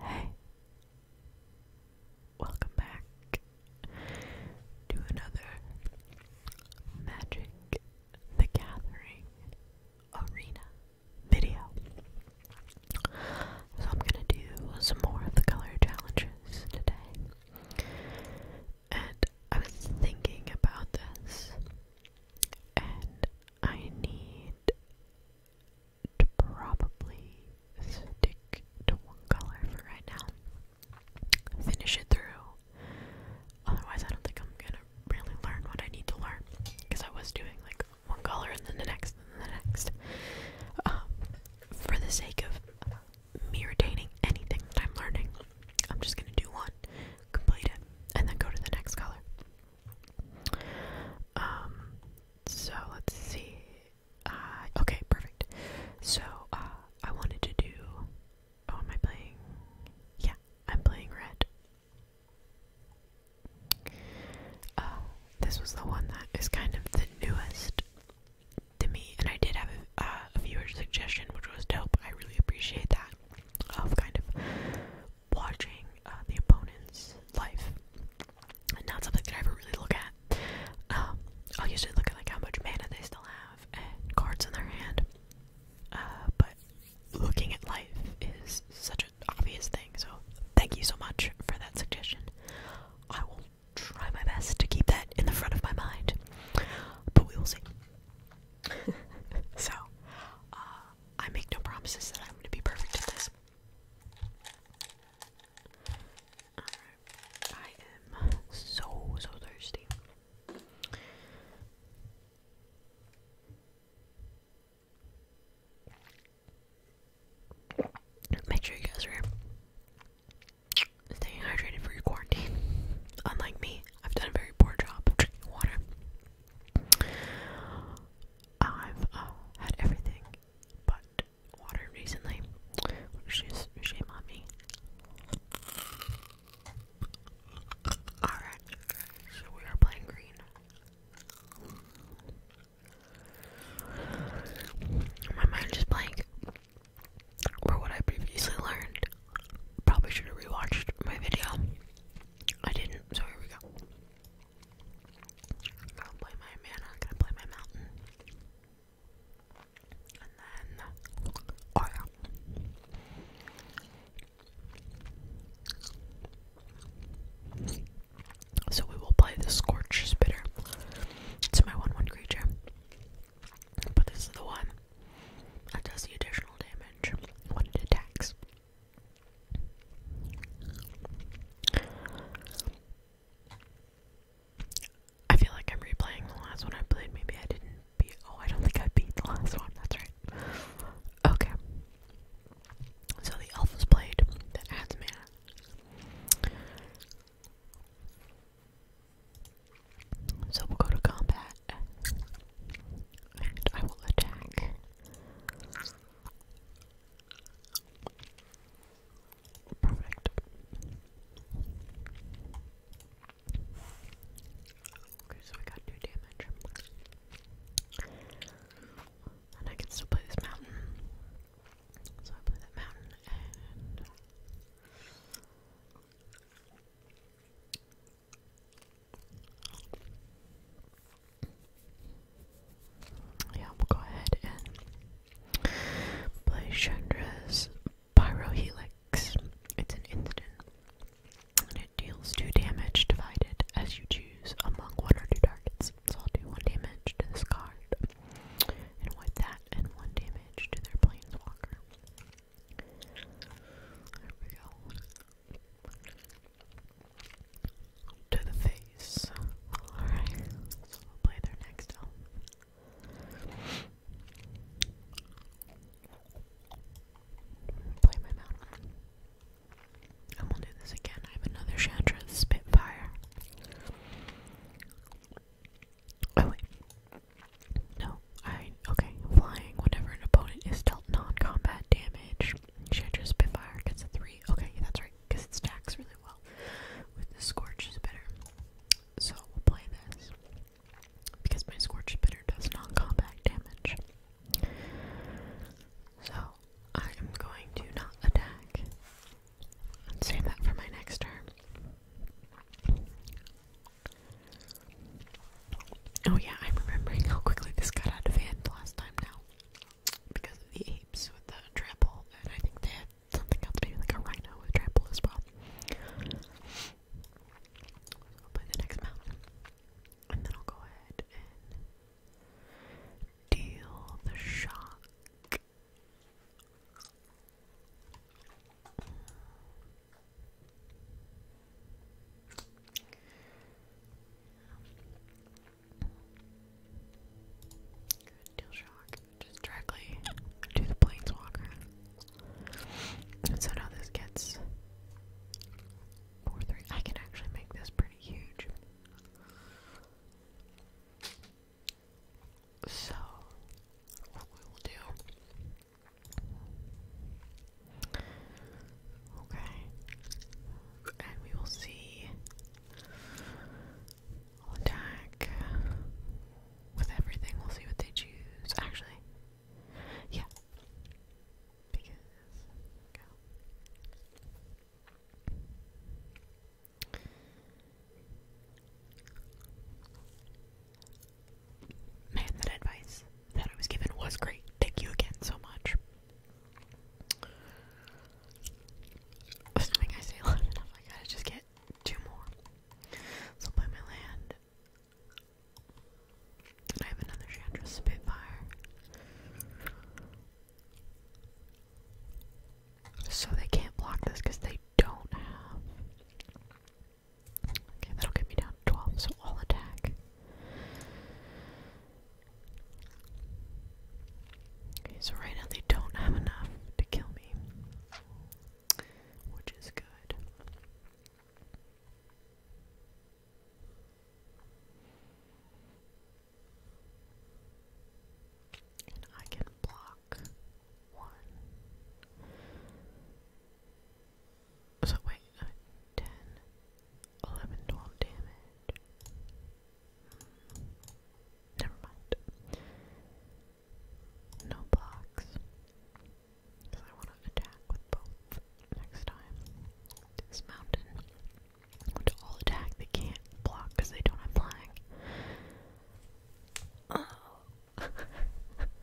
Hey, welcome back to another Magic the Gathering Arena video. So, I'm gonna do some more of the color challenges today. And I was thinking about this, and I need probably stick to one color for right now. Finish it through. Otherwise, I don't think I'm gonna really learn what I need to learn because I was doing like one color and then the next and then the next. Um, for the sake of me retaining anything that I'm learning, I'm just gonna do one, complete it, and then go to the next color. Um, so let's see. Uh, okay, perfect. So, uh, I wanted to do. Oh, am I playing? Yeah, I'm playing red. Uh, this was the one that is kind of the newest to me, and I did have a, uh, viewer suggestion, which was dope. I really appreciate that. kind of watching uh, the opponent's life. And not something that I ever really look at. Um, I'll usually look at like how much mana they still have and cards in their hand. Uh, but looking at life is such an obvious thing, so thank you so much for that suggestion. I will try my best to keep that in the front of my mind, but we will see. so, uh, I make no promises that I'm going to be perfect at this. I am so, so thirsty. Make sure you guys are staying hydrated for your quarantine. Unlike me, I've done a very poor job drinking water. I've uh, had everything but water recently, which shame on me. Alright, so we are playing green. My mind is blank for what I previously learned. Probably should have rewatched my video. I didn't, so here we go. I'm gonna play my mana, I'm gonna play my mountain. And then oh yeah. So we will play the Scorch Spitter. It's my 1 1 creature. But this is the one that does the additional damage when it attacks. I feel like I'm replaying the last one I played. Maybe I didn't beat. Oh, I don't think I beat the last one. That's right. Okay. So the elf is played. That adds mana. So we'll go to combat. And I will attack. Perfect. Okay, so we got two damage. And I can still play this mountain. So I play that mountain and yeah, we'll go ahead and play Chandra's Pyrohelix. It's an instant, and it deals two damage divided as you choose among one or two targets. So I'll do one damage to this card, and with that, and one damage to their planeswalker. There we go to the face. Alright, so we'll play their next Play my mountain. And we'll do this again. I have another Chandra Spitfire. Oh wait. No, I okay, flying whenever an opponent is dealt non-combat damage. Chandra Spitfire gets a 3. Okay, that's right, because it stacks really well with the Scorch Spitter. So we'll play this, because my Scorch Spitter does non combat damage. So I am going to not attack and save that for my next turn. Oh, yeah, I'm remembering how quickly this got out of hand last time now because of the apes with the trample, and I think they had something else, maybe like a rhino with trample as well. i the next mountain, and then I'll go ahead and deal the shock deal shock. Just directly to the planeswalker. so now this gets four three. I can actually make this pretty huge. So what we will do Okay. And we will see. I'll attack with everything. We'll see what they choose. Actually, yeah. Because. Go. Man, that advice that I was given was great. Thank you again so much. Assuming I stay enough, I gotta just get two more. So play my land. I have another Chandra Spitfire. So they can't block this because they don't have. Okay, that'll get me down to 12, so I'll attack so right now they don't have enough to kill me, which is good. And I can block one. So wait, uh, ten, 11, damage. Never mind. No blocks. Because I want to attack with both next time. This mountain. Which all attack, they can't block because they don't have flying. Oh.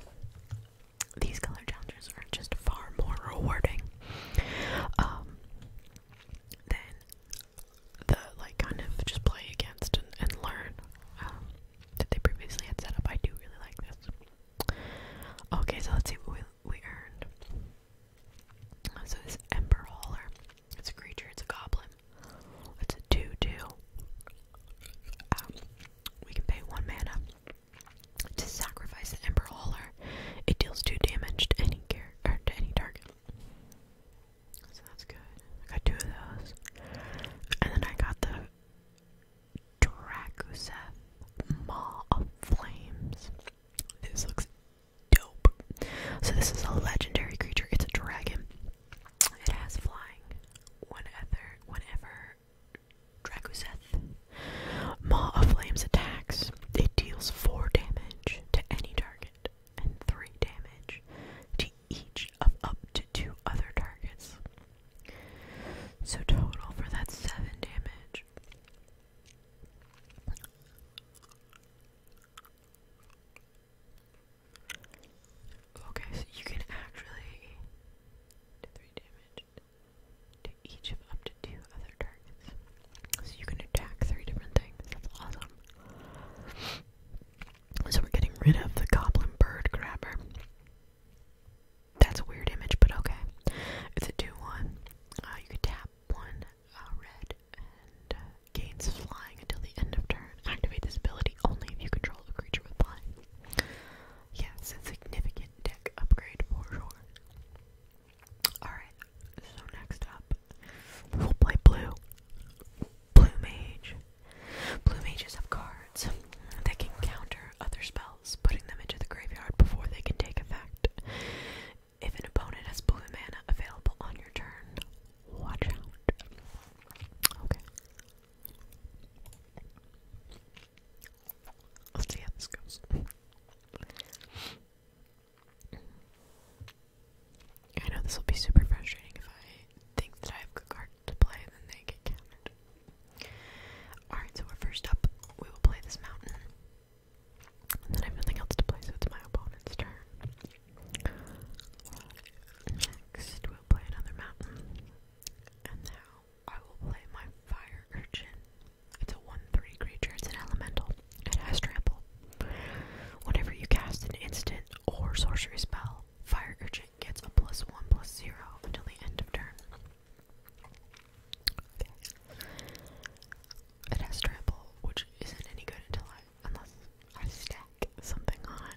These color challenges are just far more rewarding. Um, then the like kind of just play against and, learn um, that they previously had set up. I do really like this. Okay, so let's see what we we earned. So this Ember Hauler, it's a creature, it's a goblin. It's a two two. Um, we can pay one mana to sacrifice the it deals two damage to any care to any target. So that's good. I got two of those. And then I got the Dracuseth Maw of Flames. This looks dope. So this is a legendary creature. It's a dragon. It has flying One whenever Dracuseth Maw of Flames attacks. It deals 4 damage to any target and 3 damage to each of up to 2 other targets. So, total for that 7 damage. Okay, so you can actually damage to each of up to other targets. So you can attack three different things. That's awesome. So we're getting rid of the goblin bird grabber. That's a weird image, but okay. It's a 2 1. Uh, you could tap one uh, red and uh, gains flying until the end of turn. Activate this ability only if you control a creature with flying. Yes, a significant deck upgrade for sure. Alright, so next up, we'll play Blue. Blue Mage. Blue Mages have cards that can counter other spells, putting them into the graveyard before they can take effect. If an opponent has blue mana available on your turn, watch out. Okay. Let's see how this goes. I know this will be super frustrating if I think that I have a card to play and then they get counted. Alright, so we're first up. We will play this mountain. And then I have nothing else to play, so it's my opponent's turn. Next, we'll play another mountain. And now I will play my fire urchin. It's a 1-3 creature. It's an elemental. It has trample. Whenever you cast an instant or sorcery spell, Fire Urchin gets a plus 1 plus 0 until the end of turn. It has trample, which isn't any good until unless I stack something on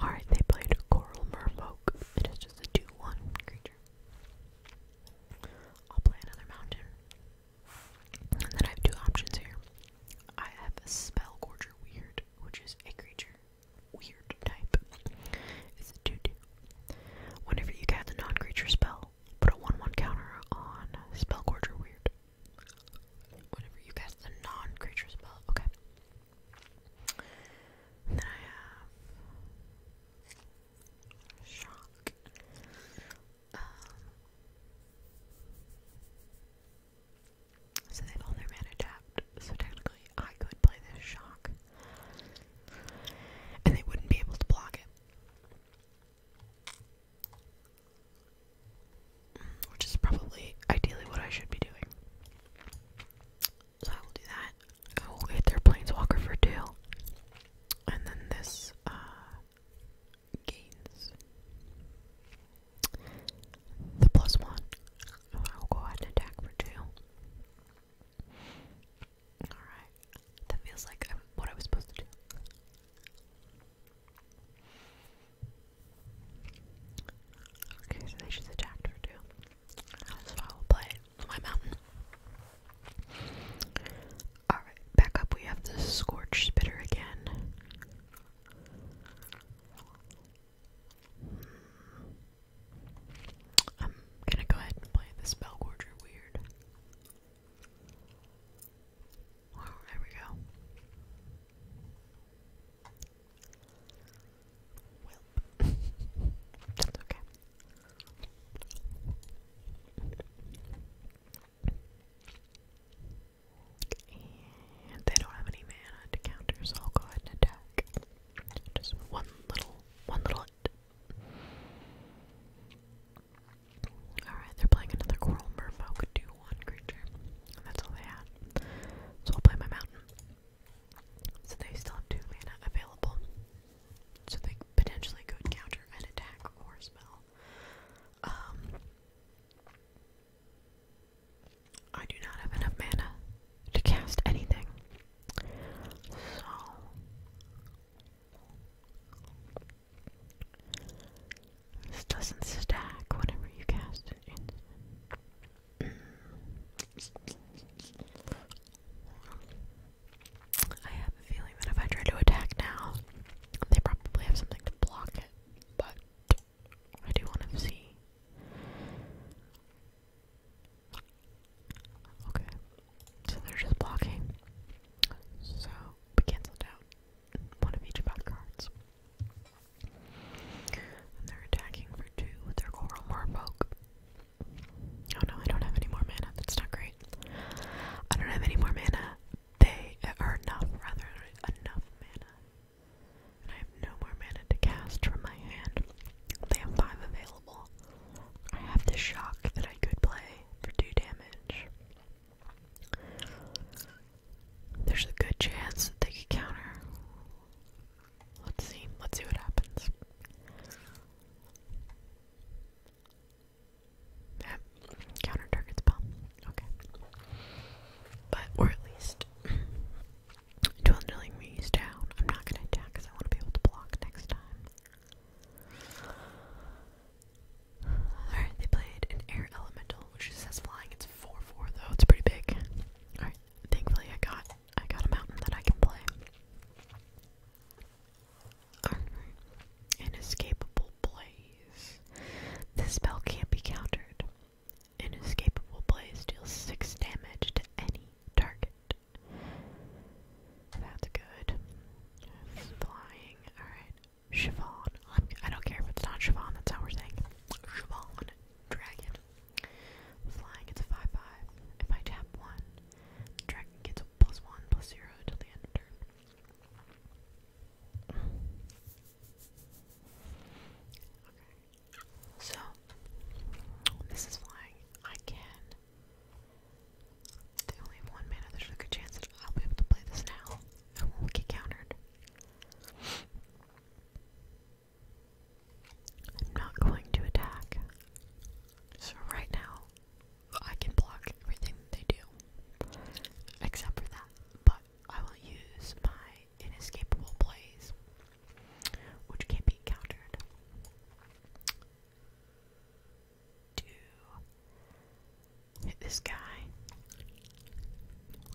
Alright, they played Coral Merfolk. It is just a 2-1 creature. I'll play another mountain. And then I have two options here. I have a spell gorger weird, which is a creature weird type. It's a 2-2. Whenever you cast a non-creature spell, put a 1-1 counter on spell gorger weird. Whenever you cast a non-creature spell, okay. then I have shock. Um, so they've all their mana tapped, so technically I could play this shock. And they wouldn't be able to block it. Which is probably ideally what I should be doing. So I will do that. I will wait their planeswalker for two. And then this uh the plus one. I will go ahead and attack for two. Alright. That feels like what I was supposed to do. Okay, so they just attacked for two. That's what I will play my mountain. Alright, back up we have the Scorch Spitter again. Hmm. I'm gonna go ahead and play the Spellgorger Weird. there we go that's okay. And they don't have any mana to so I'll go ahead and attack. Just one little, one little. Alright, they're playing another Coral Merfolk 1 creature. that's all they had. So I'll play my mountain. So they still have two mana available. So they potentially could counter an attack or spell. Um, I do not have enough mana to cast anything. So this doesn't stack whenever you cast an I have a feeling that if I try to attack now, they probably have something to block it, but I do want to see. Okay, so they're just blocking. So we canceled out one of each of our cards. And they're attacking for two with their coral marpoke. Oh no, I don't have any more mana. That's not great. I don't have any more mana. They are not rather, enough mana. And I have no more mana to cast from my hand. They have five available. I have the shock that I could play for two damage. There's a good chance that they could counter. Let's see. Let's see what happens. counter targets bomb. Okay. But, or at least, dwindling me down. I'm not gonna attack because I want to be able to block next time. Alright, they played an air elemental, which says flying. It's 4 4 though, it's pretty big. Alright, thankfully I got I got a mountain that I can play. Inescapable Blaze. This spell can't be countered. Inescapable Blaze deals 6 damage to any target. That's good. Flying. Alright. Siobhan. I'm, I do not care if it's not Siobhan, that's how we're saying. Siobhan. Dragon. Flying gets a 5-5. If I tap 1, dragon gets a plus 1, plus 0 until the end turn. Okay. So, this is flying. I can... They only have one mana. There's a good chance that I'll be able to play this now. I won't get countered. I'm not going to attack. So right now, I can block everything they do, except for that. But I will use my inescapable blaze, which can be countered, to hit this guy.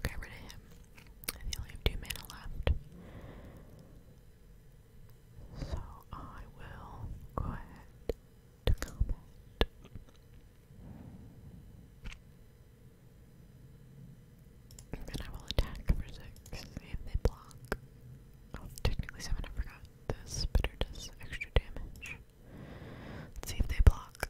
get rid of him. I only have two mana left. So I will go ahead to comment. And I will attack for six if they block. Oh, technically seven, I forgot. The spitter does extra damage. see if they block.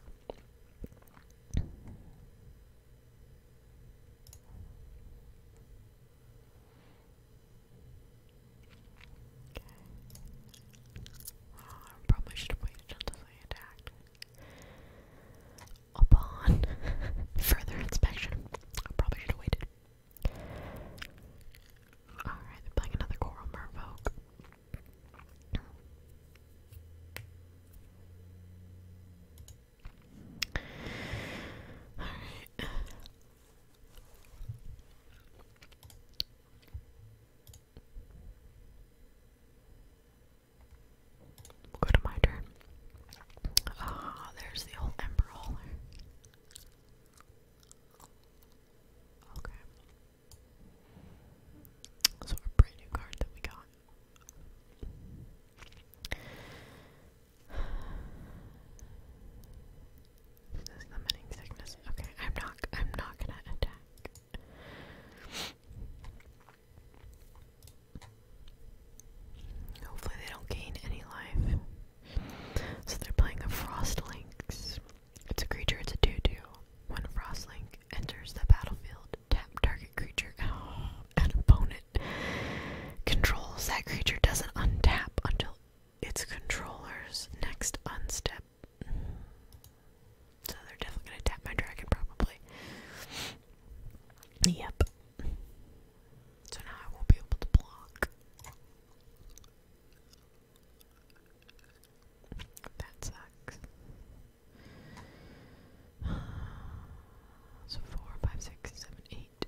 I um, probably should have waited until they attacked. Upon further inspection, I probably should have waited. Alright, playing another Coral Merfolk go to my turn. Ah, there's the old ember hauler. Okay. So a brand new card that we got. Is this limiting sickness? Okay, I'm not I'm not gonna attack. Hopefully they don't gain any life. So they're playing a frost link. It's a creature, it's a 2-2. When frost link enters the battlefield, tap target creature and opponent controls. That creature doesn't untap until its controller's next unstep. So they're definitely gonna tap my dragon, probably. Yep. So now I won't be able to block. That sucks. So four, five, six, seven, eight.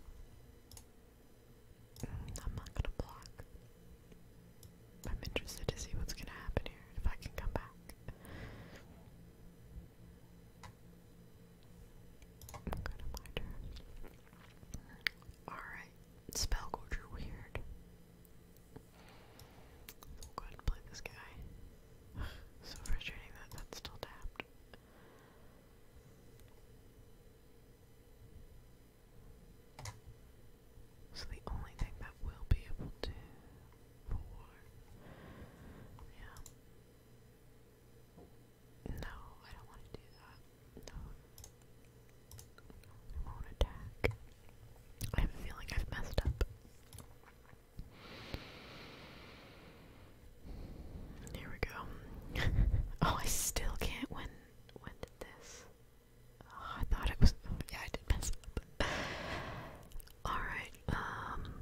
I'm not gonna block. I'm interested to see what's gonna happen here, if I can come back. i to mind her. Alright, spell gorger weird. We'll go ahead and play this guy. so frustrating that that's still tapped. So the only thing that will be able to yeah. No, I don't want to do that. No. It won't attack. I have a feeling I've messed up. Here we go. oh, I still can't. win. when did this? Oh, I thought it was. yeah, I did mess up. All right. Um.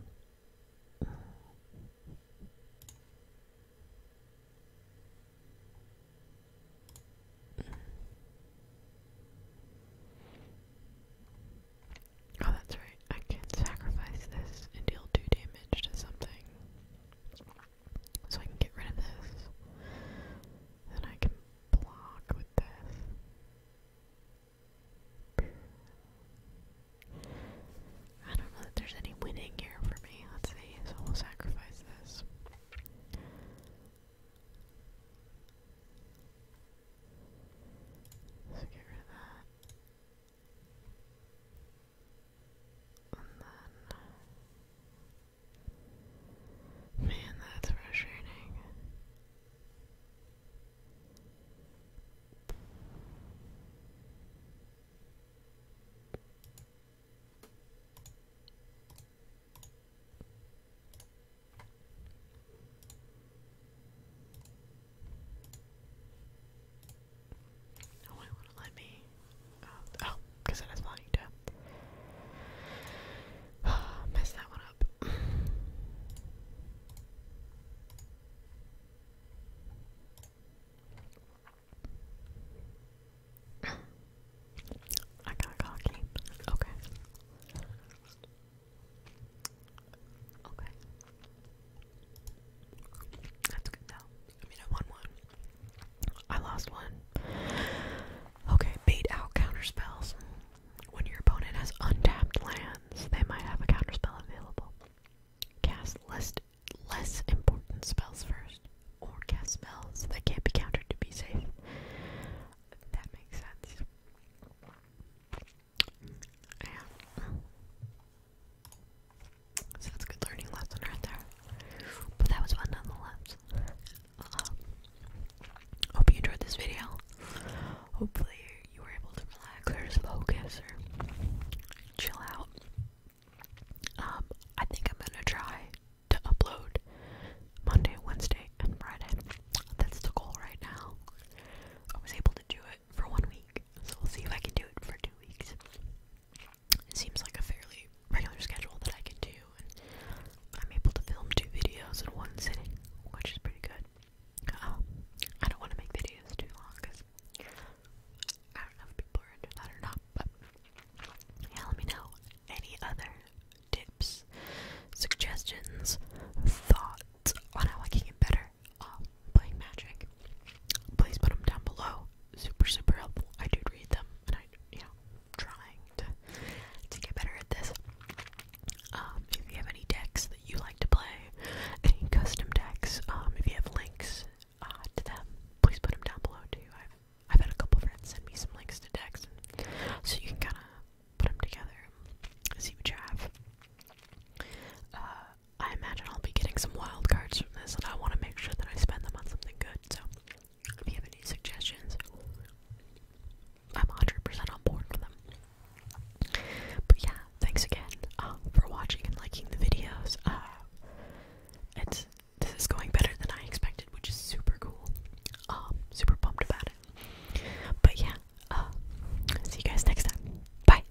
Oh, that's right. I can sacrifice this and deal 2 damage to something. So I can get rid of this. Then I can block with this. I don't know that there's any winning here for me. Let's see, so we'll sacrifice this. let get rid of that man, that's frustrating. No one would let me. Um, oh, because I was wanting to mess that one up. I got cocky. Okay. Okay. That's good I mean, I won one. I lost one. Okay, bait out counterspells. When your opponent has untapped lands, they might have a counterspell available. Cast less, less important spells first, or cast spells that can't be countered to be safe. That makes sense. So that's a good learning lesson right there. But that was fun nonetheless. Uh, hope you enjoyed this video. Hopefully you were able to relax or just focus or chill out. Um, I think I'm gonna try to upload Monday, Wednesday, and Friday. That's the goal right now. I was able to do it it for one week. So we'll see if I can do it for two weeks. It seems like a fairly regular schedule that I can do, and I'm able to film two videos in one sitting, which is pretty good. Um, I don't want to make videos too long because I don't know if people are into that or not, but yeah, let me know any other tips, suggestions, thoughts on how I can get better uh, playing Magic, please put them down below. Super, super helpful. I do read them, and I, you know, trying to to get better at this. Um, if you have any decks that you like to play, any custom decks, um, if you have links uh, to them, please put them down below too. I've I've had a couple friends send me some links to decks, and, so you can kind of put them together, and see what you have. Uh, I imagine I'll be getting some wild cards from this, and I want to make sure that I spend them on something good. So, if you have any suggestions, I'm 100% on board for them. But yeah, thanks again uh, for watching and liking the videos. Uh, it's this is going better than I expected, which is super cool. Um, super pumped about it. But yeah, uh, see you guys next time. Bye.